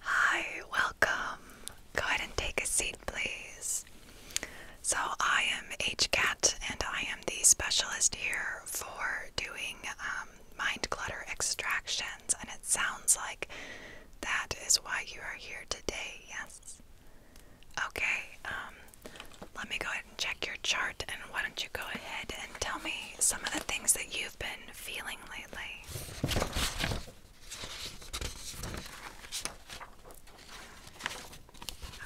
Hi, welcome. Go ahead and take a seat, please. So, I am HCAT and I am the specialist here for doing um, mind clutter extractions, and it sounds like that is why you are here today, yes? Okay, um, let me go ahead and check your chart, and why don't you go ahead and tell me some of the things that you've been feeling lately?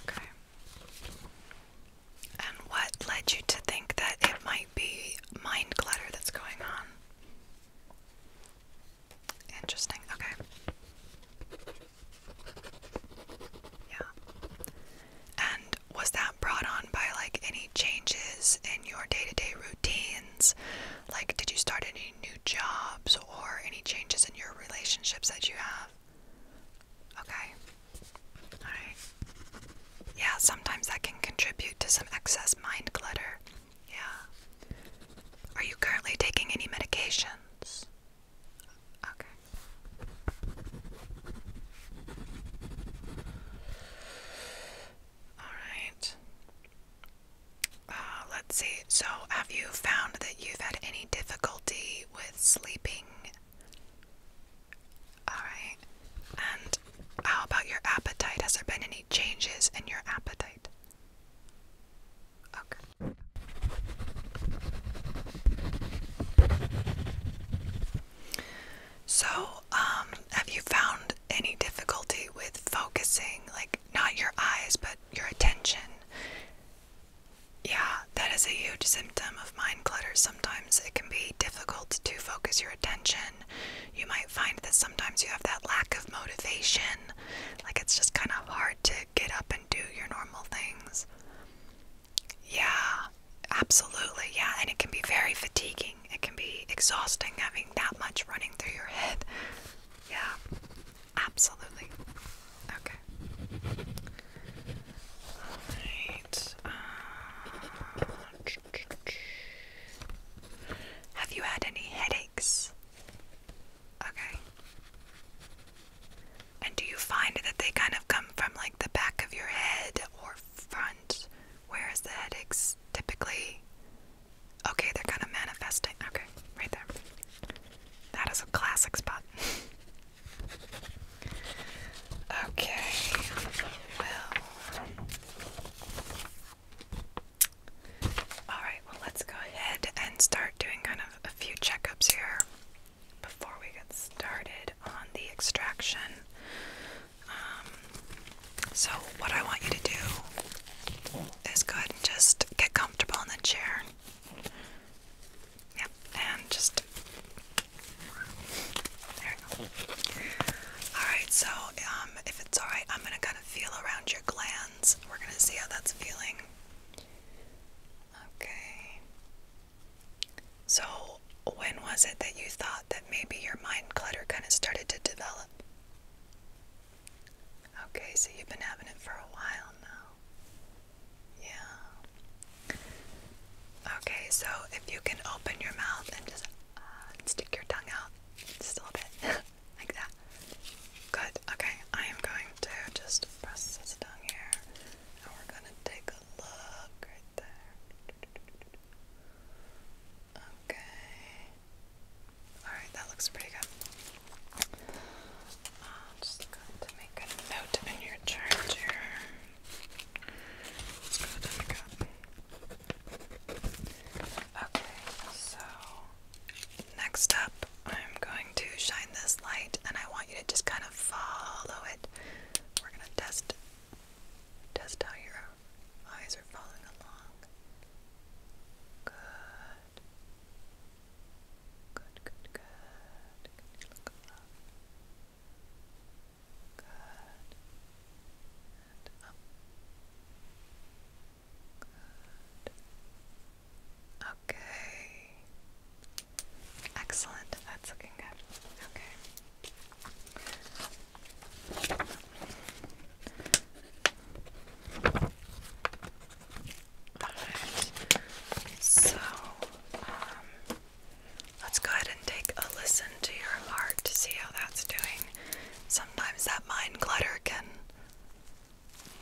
Okay. And what led you to think that it might be mind clutter that's going on? Interesting, okay. Yeah. And was that brought on by like any changes in your day to day routines? Like, did you start any new jobs or any changes in your relationships that you have? Okay. Alright. Yeah, sometimes that can contribute to some excess mind clutter. Yeah. Are you currently taking any medications? Okay. Alright. Uh, let's see. So, have you found that you've had any difficulty with sleeping? Alright. And how about your appetite? Has there been any changes in your appetite? Okay. So, um, have you found any difficulty with focusing, like not your eyes, but your attention? Yeah, that is a huge symptom of mind clutter. Sometimes it can be difficult to focus your attention. You might find that sometimes you have that lack of motivation, like it's just kind of hard to get up and do your normal things. Yeah, Absolutely, yeah, and it can be very fatiguing. It can be exhausting having that much running through your head. Yeah, absolutely. Okay. Alright. Uh, have you had any headaches? Okay. And do you find that they kind of come from like the back of your head or front? front, whereas the headaches typically. Okay, they're kind of manifesting. Okay, right there. That is a classic spot. okay, well. Alright, well, let's go ahead and start doing kind of a few checkups here before we get started on the extraction. Um, so, what I want you to do is go just get comfortable in the chair. Yep, and just. There we go. Alright, so um, if it's alright, I'm going to kind of feel around your glands. We're going to see how that's feeling. Okay. So, when was it that you thought that maybe your mind clutter kind of started to develop? Okay, so you've been having it for a while now. Yeah. Okay, so if you can open your mouth and just uh, stick your tongue out a little bit, like that. Good. Okay, I am going to just press this tongue here, and we're gonna take a look right there. Okay. Alright, that looks pretty good. I'm just going to make a note in your chart Let's go to the cup. Okay, so next up, I'm going to shine this light and I want you to just kind of follow it. We're going to test test how your Eyes are following along. Good. Good, good, good. Good. Okay. Excellent. That's looking good. Okay. So, um, let's go ahead and take a listen to your heart to see how that's doing. Sometimes that mind clutter can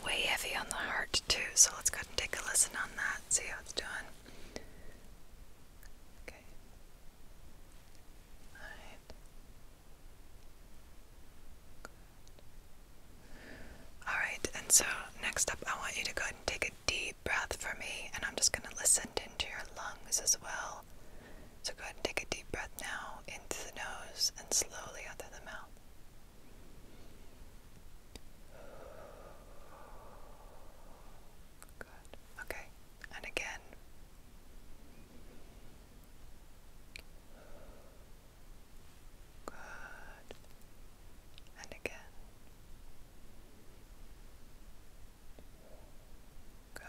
weigh heavy on the heart too, so let's go ahead and take a listen on that, see how it's doing. Okay. Alright. Alright, and so next up, I want you to go and take a deep breath for me, and I'm just going to listen into your lungs as well. So go ahead and take a deep breath now into the nose and slowly out of the mouth. Good. Okay. And again. Good. And again. Good. All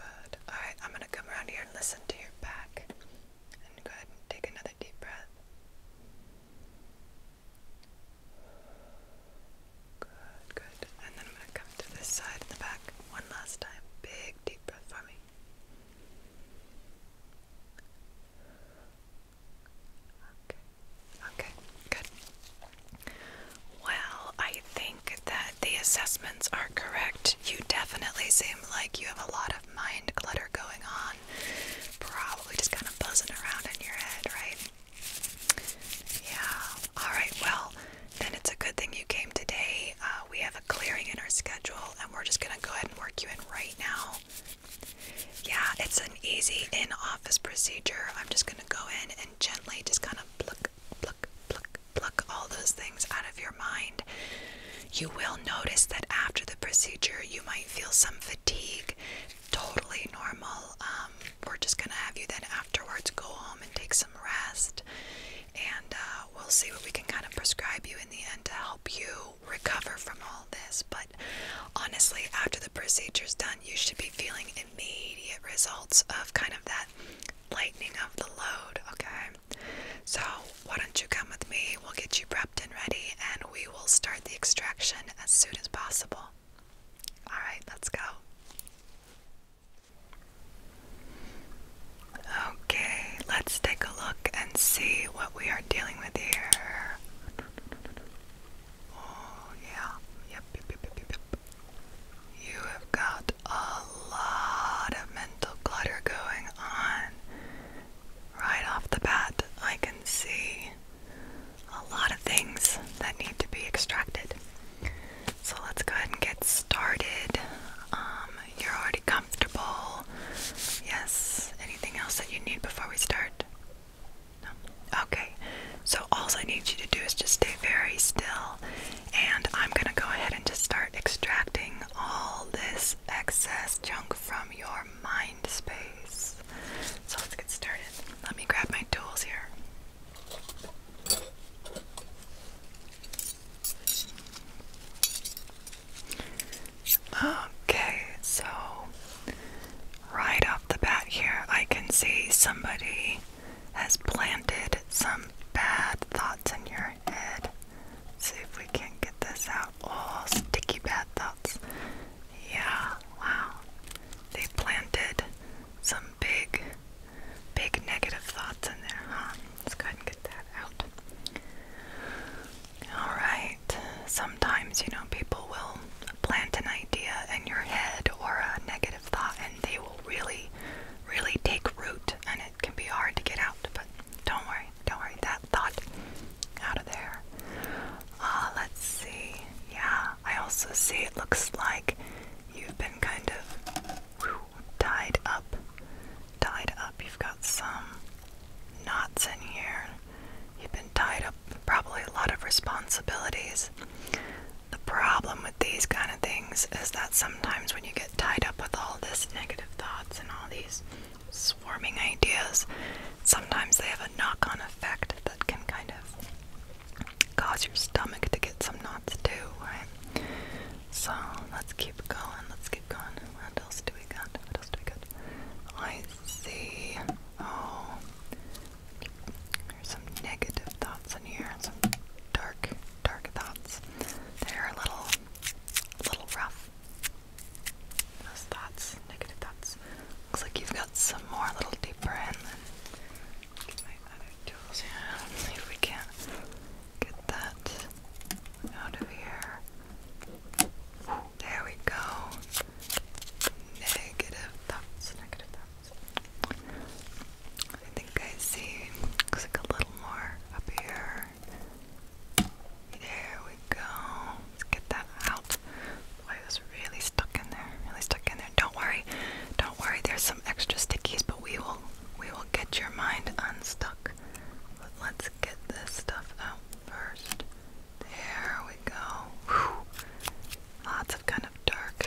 right, I'm going to come around here and listen to your back. And go take another deep breath. Good, good. And then I'm going to come to this side and the back one last time. Big deep breath for me. Okay, okay, good. Well, I think that the assessments are correct. You definitely seem like you have a lot of mind clutter going on. Probably just kind of buzzing around in your head, right? Yeah. All right. Well, then it's a good thing you came today. Uh, we have a clearing in our schedule, and we're just going to go ahead and work you in right now. Yeah, it's an easy in office procedure. I'm just going to go in and gently just kind of pluck, pluck, pluck, pluck all those things out of your mind. You will notice that after the procedure, you might feel some fatigue. Totally normal. Um, um, we're just gonna have you then afterwards go home and take some rest, and uh, we'll see what we can kind of prescribe you in the end to help you recover from all this. But honestly, after the procedure's done, you should be feeling immediate results of kind of that lightening of the load, okay? So, why don't you come with me? We'll get you prepped and ready, and we will start the extraction as soon as possible. Alright, let's go. Okay, let's take a look and see what we are dealing with here. Oh, yeah. Yep, yep, yep, yep, yep. You have got a lot of mental clutter going on. Right off the bat, I can see a lot of things that need to be extracted. So let's go ahead and get started. Um, you're already comfortable. Yes. Anything else that you need before we start? No. Okay. So all I need you to do is just stay very still, and I'm gonna go ahead and just start extracting all this excess junk from your mind space. So let's get started. Let me grab my tools here. Okay, so right off the bat here, I can see somebody has planted some bad thoughts in your head. see if we can get this out. Oh, sticky bad thoughts. Yeah, wow. They planted some big big negative thoughts in there, huh? Let's go and get that out. Alright, sometimes, you know, people will plant an idea in your head or a negative thought and they will really, really take root and it can be hard to get out. But don't worry, don't worry, that thought out of there. Uh, let's see. Yeah, I also see it looks like you've been kind of tied up. Tied up. You've got some knots in here. You've been tied up, probably a lot of responsibilities. The problem with these kind of things is that sometimes when you get tied up with all this negative thoughts and all these swarming ideas, sometimes they have a knock on effect that can kind of cause your stomach to get some knots too, right? So let's keep going. Let's keep going. What else do we got? What else do we got? I see. Oh, there's some negative thoughts in here. Some dark, dark thoughts. They're a little, little rough. Those thoughts, negative thoughts. Looks like you've got some more a little deeper in. Get my See if we can get that out of here. There we go. Negative thoughts, I think I see. Looks like a little more up here. There we go. Let's get that out. Why this really stuck in there, really stuck in there. Don't worry, don't worry. There's some extra stickies, but we will, we will get your mind unstuck. But let's get this stuff out first. There we go. Lots of kind of dark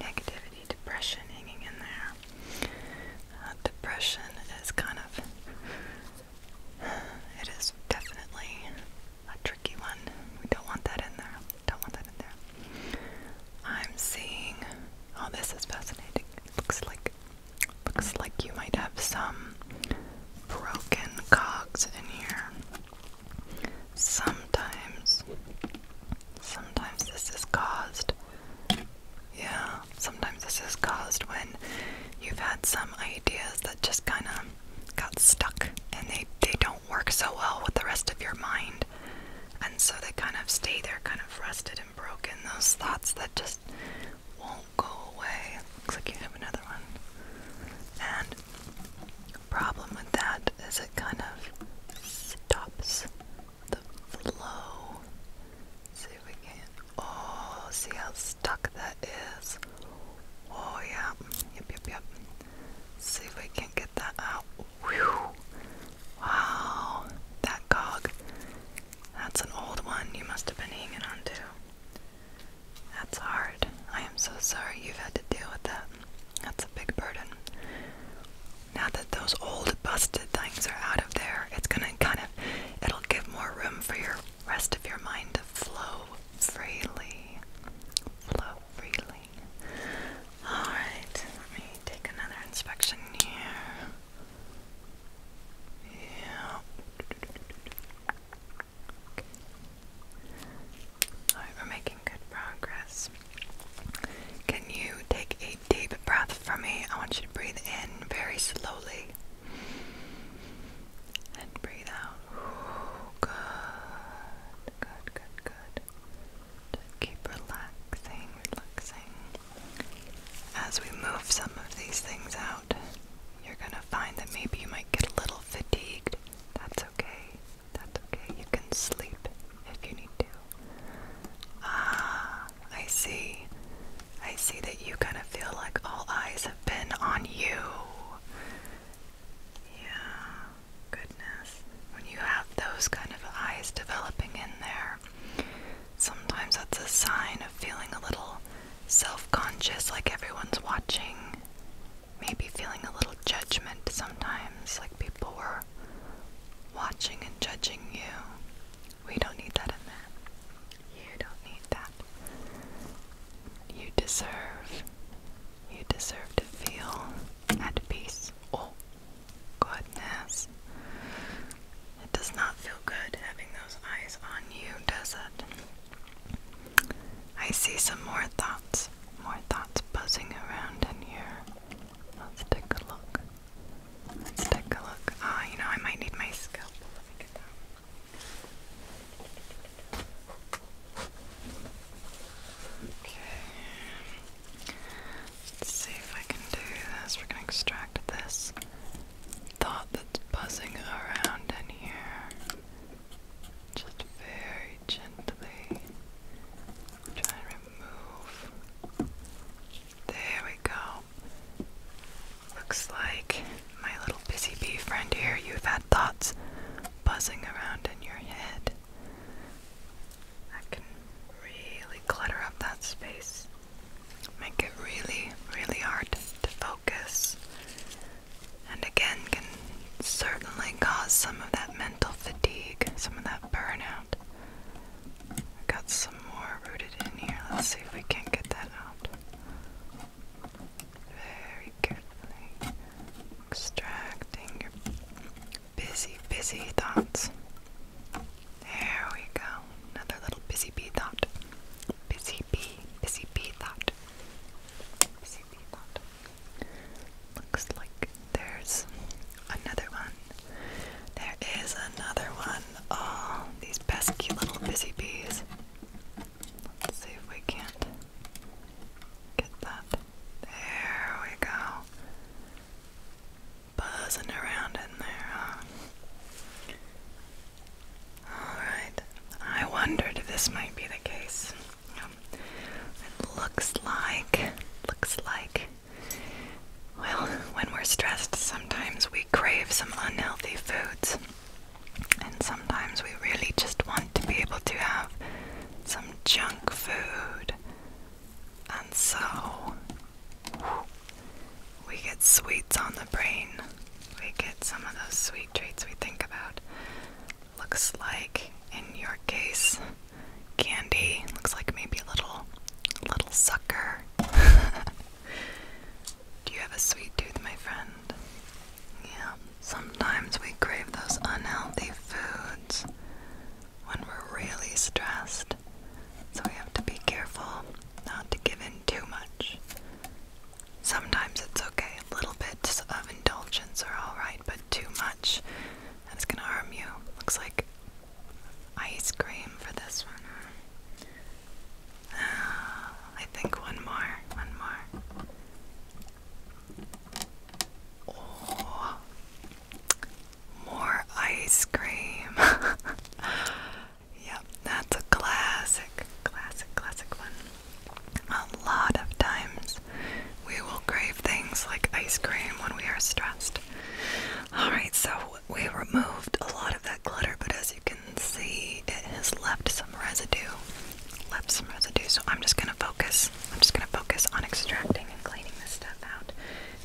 negativity, depression hanging in there. Uh, depression is kind of. It is definitely a tricky one. We don't want that in there. Don't want that in there. I'm seeing. Oh, this is fascinating. looks like looks like you might have some broken cogs in here. Sometimes, sometimes this is caused. Yeah, sometimes this is caused when you've had some ideas that just kind of got stuck and they they don't work so well with the rest of your mind. And so they kind of stay there, kind of rusted and broken. Those thoughts that just won't go away. Looks like you have another one. And the problem with that is it kind of stops the flow. see if we can. Oh, see how stuck that is. Oh yeah. Yep, yep, yep see if we can get that out. Wow, that cog. That's an old one you must have been hanging on to. That's hard. I am so sorry you've had to deal with that. That's a big burden. Now that those old busted things are out of there, it's gonna kind of it'll give more room for your rest of your mind to flow freely. Flow freely. Alright, let me take another inspection here. Yeah. Alright, we're making good progress. Can you take a deep breath from me? I want you to breathe in very slowly. And breathe out. good, good, good, good keep relaxing, relaxing. As we move some of these things out, you're gonna find that maybe you might get a little fatigued. That's okay. That's okay. You can sleep if you need to. Ah, I see. I see that you kind of feel like all eyes have been on you. Yeah, goodness. When you have those kind of eyes developing in there, sometimes that's a sign of feeling a little self conscious, like everyone's watching. Maybe feeling a little judgment sometimes, like people were watching and judging you. We don't need that in there. You don't need that. You deserve you deserve to feel at peace. Oh, goodness. It does not feel good having those eyes on you, does it? I see some more thoughts. More thoughts buzzing around in here. Let's take a look. Let's take a look. Ah, you know, I might need my scalpel. Okay. Let's see if I can do this. We're gonna extract this thought that's buzzing around in here. Just very gently. Try and remove. There we go. Looks like my little busy bee friend here, you've had thoughts buzzing around in your head. I can really clutter up that space, make it really, really hard to focus, and again, can certainly cause some of that mental fatigue, some of that burnout. got some more rooted in here. Let's see if we can get that out. Very carefully extracting your busy, busy thoughts. There we go. Another little busy bee thought. Busy bee, busy bee thought. Busy bee thought. Looks like there's another one. There is another one. Oh, these pesky little busy bees. Let's see if we can't get that. There we go. Buzzing around in there, Alright, I wondered if this might be the case. Um, it looks like, looks like, well, when we're stressed, sometimes we crave some unhealthy foods. And sometimes we really just want to be able to have some junk food, and so we get sweets on the brain. We get some of those sweet treats we think about. Looks like, in your case, candy. Looks like maybe a little, little sucker. Do you have a sweet tooth, my friend? Yeah, sometimes we crave those unhealthy foods when we're really stressed. So we have to be careful not to give in too much. Sometimes it's okay, little bits of indulgence are alright, but too much, it's gonna harm you. Looks like ice cream for this one, ah, I think one more, one more. Oh, more ice cream. yep, that's a classic, classic, classic one. A lot of times we will crave things like ice cream when we are stressed. Alright, so we removed a lot of that clutter, but as you can see, it has left some residue. Left some residue, so I'm just going to focus I'm just going to focus on extracting and cleaning this stuff out.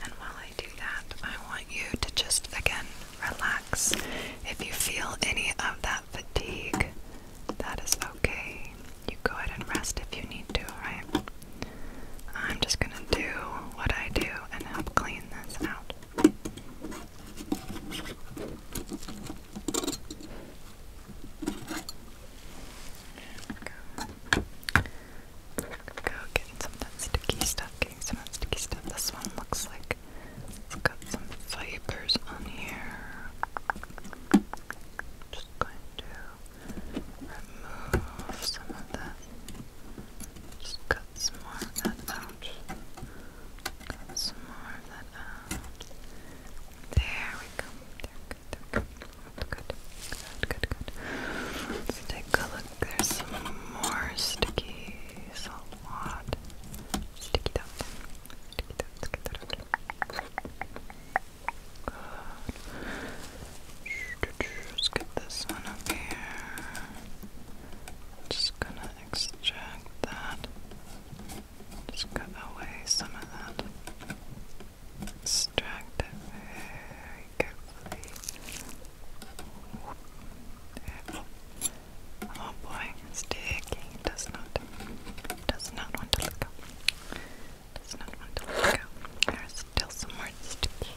And while I do that, I want you to just again relax. If you feel any of that fatigue, that is okay. You go ahead and rest if you need to, right? I'm just going to do what I do and help clean this out. Go. Go some of that sticky stuff, getting some of that sticky stuff. This one looks like it's got some fibers on here. Just going to remove some of that. Just cut some more of that out. some more of that out. There we go. There we good, good, good, good, good. Let's take a look. There's some more sticky salt wad. Sticky that. Sticky that. let Let's get this one up here. Just gonna extract that. Just cut away some of that. Extract it very carefully. There. Oh boy, it's does not. Does not want to let go. Does not want to let go. There's still some more sticky.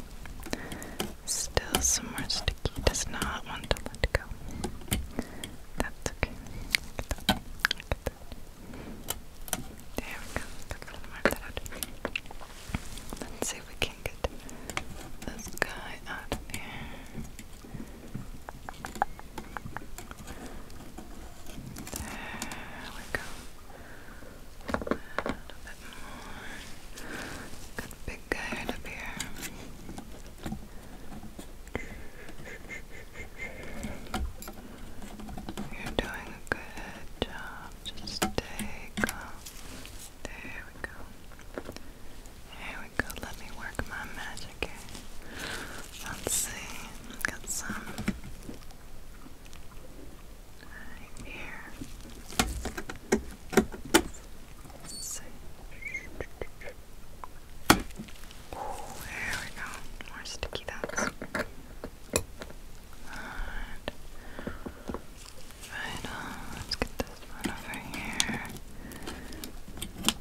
Still some more sticky. Does not want to let go. That's okay. Look that. Look at there we go. Let's mark that out. Let's see if we can get this guy out of here. There we go. A little bit more. Got a big guy right up here. You're doing a good job. Just stay There we go. There we go. Let me work my magic Let's see. Got some right here there we go. More sticky dots. Right. Let's get this one over here. There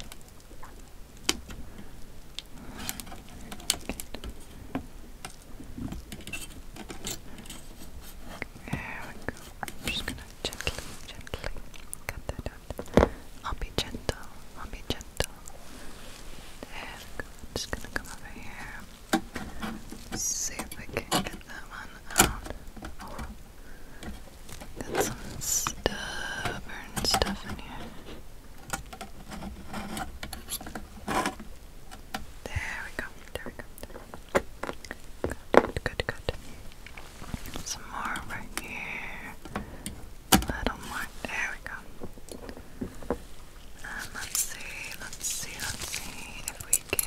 we go. I'm just gonna gently, gently cut that I'll be gentle. I'll be gentle. There we go. just gonna come over here. See if I can get that one out. Oh, got some stubborn stuff in here. There we go. There we go. Good, good, good. Some more right here a little more. There we go. And let's see, let's see, let's see if we can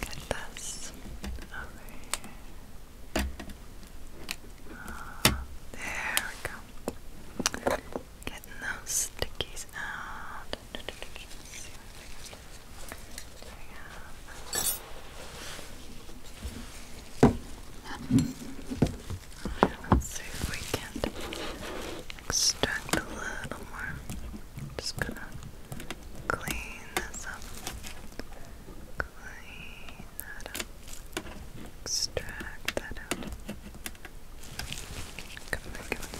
get this over here. Oh, there we go. Getting those stickies out. Let's see what we can do. There we go. Let's see if we can extract a little more. just gonna clean this up. Clean that up. Extract that out. Come back and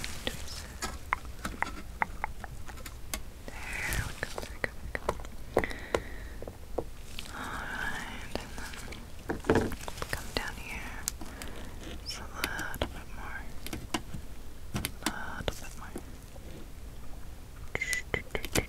There we go, there we go, there we go. Alright, and then come down here a little bit more. A little bit more. Okay.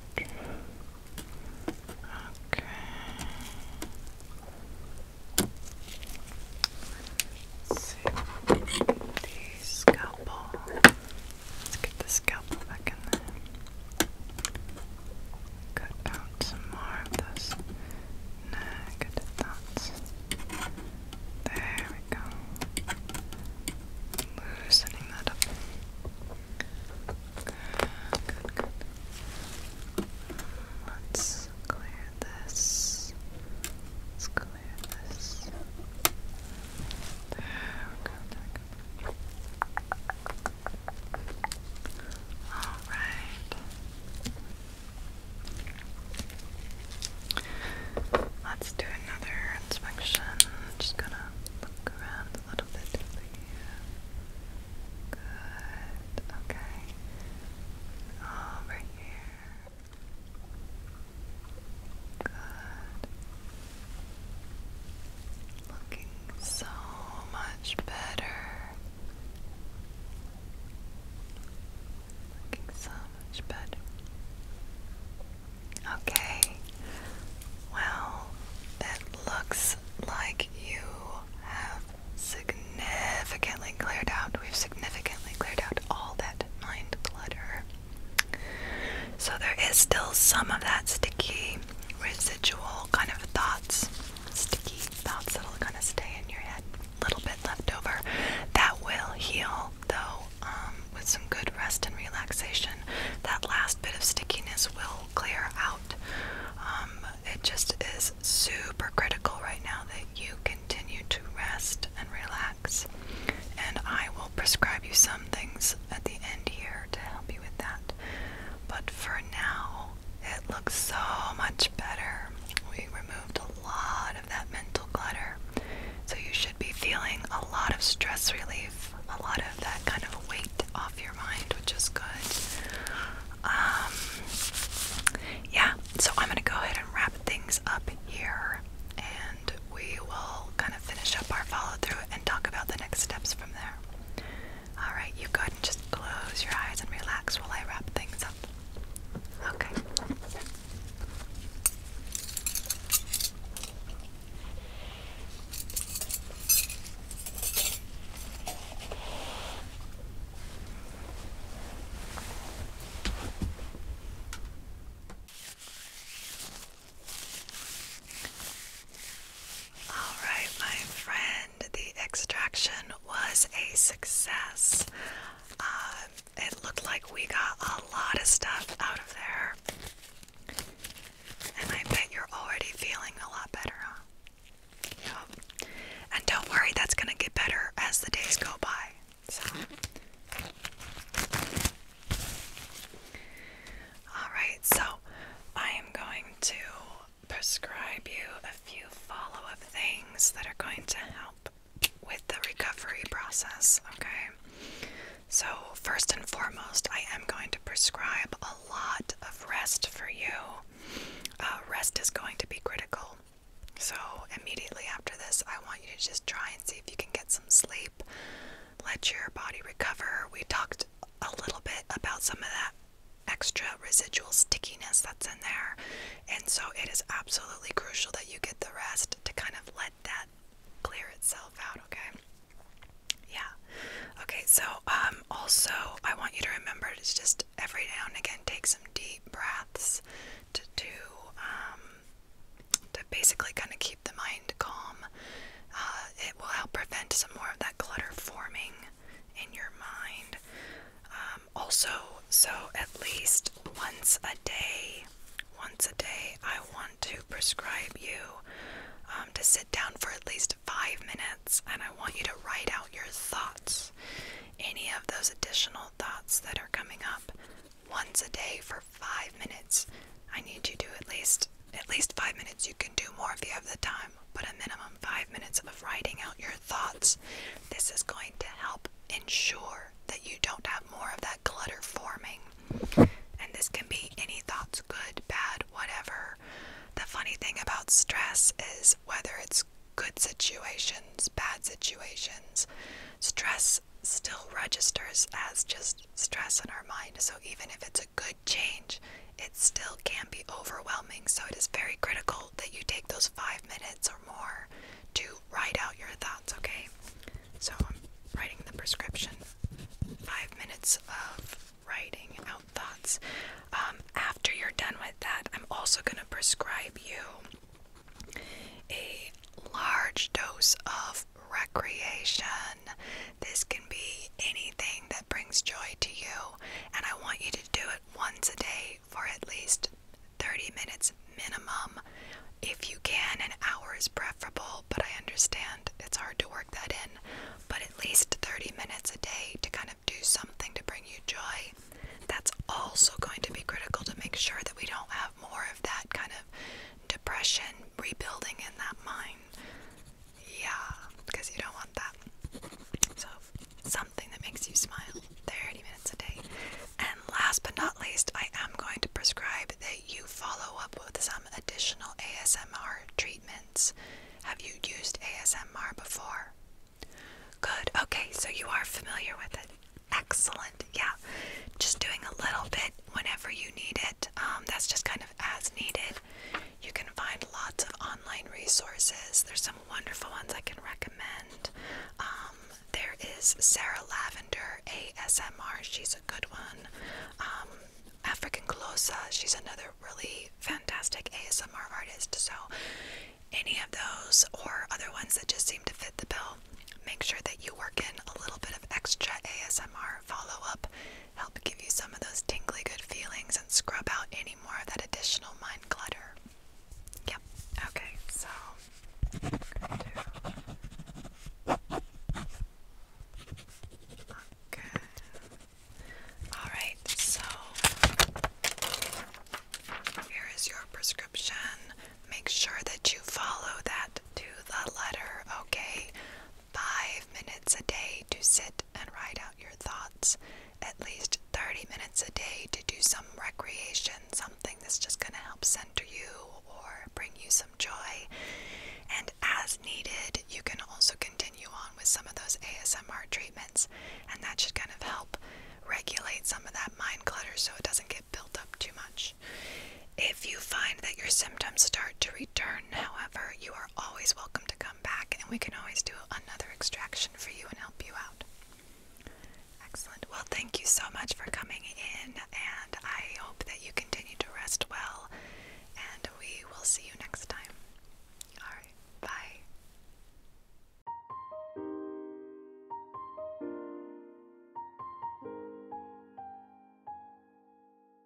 let Let's get the scalpel back in there. Cut out some more of those negative dots. There we go. Loosening that up. good, good. Let's clear this. Let's clear this. There we go, there we go. Alright. Let's do another inspection. I'm just gonna look around a little bit for you. Good. Okay. Over here. Good. Looking so much better. Looking so much better. Okay. Well, it looks like you have significantly cleared out. We've significantly cleared out all that mind clutter. So there is still some of that sticky residual kind of thoughts, sticky thoughts that'll kind of stay in your head, a little bit left over. That will heal though um, with some good rest and relaxation. That last bit of stickiness will clear out. Um, it just is super critical right now that you continue to rest and relax. And I will prescribe you some things at the end here to help you with that. But for now, it looks so much better. We removed a lot of that mental clutter. So you should be feeling a lot of stress relief, a lot of that kind of weight off your mind, which is good. Um, yeah, so I'm gonna go ahead and wrap things up here, and we will kind of finish up our follow through and talk about the next steps from there. All right, you go ahead and just close your eyes and relax while I wrap things up. Okay. All right, my friend, the extraction was a success. Uh, it looked like we got a lot of stuff out of there. And I bet you're already feeling a lot better, huh? Yep. And don't worry, that's going to get better as the days go by. Alright, so I am going to prescribe you a few follow up things that are going to help with the recovery process, okay? So, first and foremost, I am going to prescribe a lot of rest for you. Uh, rest is going to be critical. So, immediately after this, I want you to just try and see if you can get some sleep let your body recover. We talked a little bit about some of that extra residual stickiness that's in there. And so it is absolutely crucial that you get the rest to kind of let that clear itself out, okay? Yeah. Okay, so um also I want you to remember to just every now and again take some deep breaths to do um to basically kind of keep the mind calm. Uh, it will help prevent some more of that clutter forming in your mind. Um, also, so at least once a day, once a day, I want to prescribe you um, to sit down for at least five minutes and I want you to write out your thoughts, any of those additional thoughts that are coming up once a day for five minutes. I need you to at least at least five minutes. You can do more if you have the time, but a minimum five minutes of writing out your thoughts. This is going to help ensure that you don't have more of that clutter forming. And this can be any thoughts, good, bad, whatever. The funny thing about stress is whether it's good situations, bad situations, stress still registers as just stress in our mind. So even if it's a it's good change, it still can be overwhelming. So it is very critical that you take those five minutes or more to write out your thoughts, okay? So I'm writing the prescription. Five minutes of writing out thoughts. Um, after you're done with that, I'm also going to prescribe you a large dose of recreation. This can be anything that brings joy to you, and I want you to do it once a day for at least 30 minutes minimum. If you can, an hour is preferable, but I understand it's hard to work that in. But at least 30 minutes a day to kind of do something to bring you joy. That's also going to be critical to make sure that we don't have more of that kind of depression rebuilding in that mind. Yeah, because you don't want that. So, something that makes you smile 30 minutes a day. And last but not least, I am going to prescribe that you follow up with some additional ASMR treatments. Have you used ASMR before? Good. Okay, so you are familiar with it. Excellent. Yeah. Just doing a little bit whenever you need it. Um, that's just kind of as needed. You can find lots of online resources. There's some wonderful ones I can recommend. Um, there is Sarah Lavender ASMR. She's a good one. Um, African Close. She's another really fantastic ASMR artist. So any of those or other ones that just seem to fit the bill, make sure that you work in a little bit of extra ASMR follow up help give you some of those tingly good feelings and scrub out any more of that additional mind clutter. Yep, okay, so we Alright, so here is your prescription. Make sure that you follow that to the letter, okay? five minutes a day to sit and write out your thoughts, at least 30 minutes a day to do some recreation, something that's just going to help center you or bring you some joy. And as needed, you can also continue on with some of those ASMR treatments, and that should kind of help regulate some of that mind clutter so it doesn't get built up too much. If you find that your symptoms start to return, however, you are always welcome to come back and we can always do another extraction for you and help you out. Excellent. Well, thank you so much for coming in and I hope that you continue to rest well and we will see you next time. All right. Bye.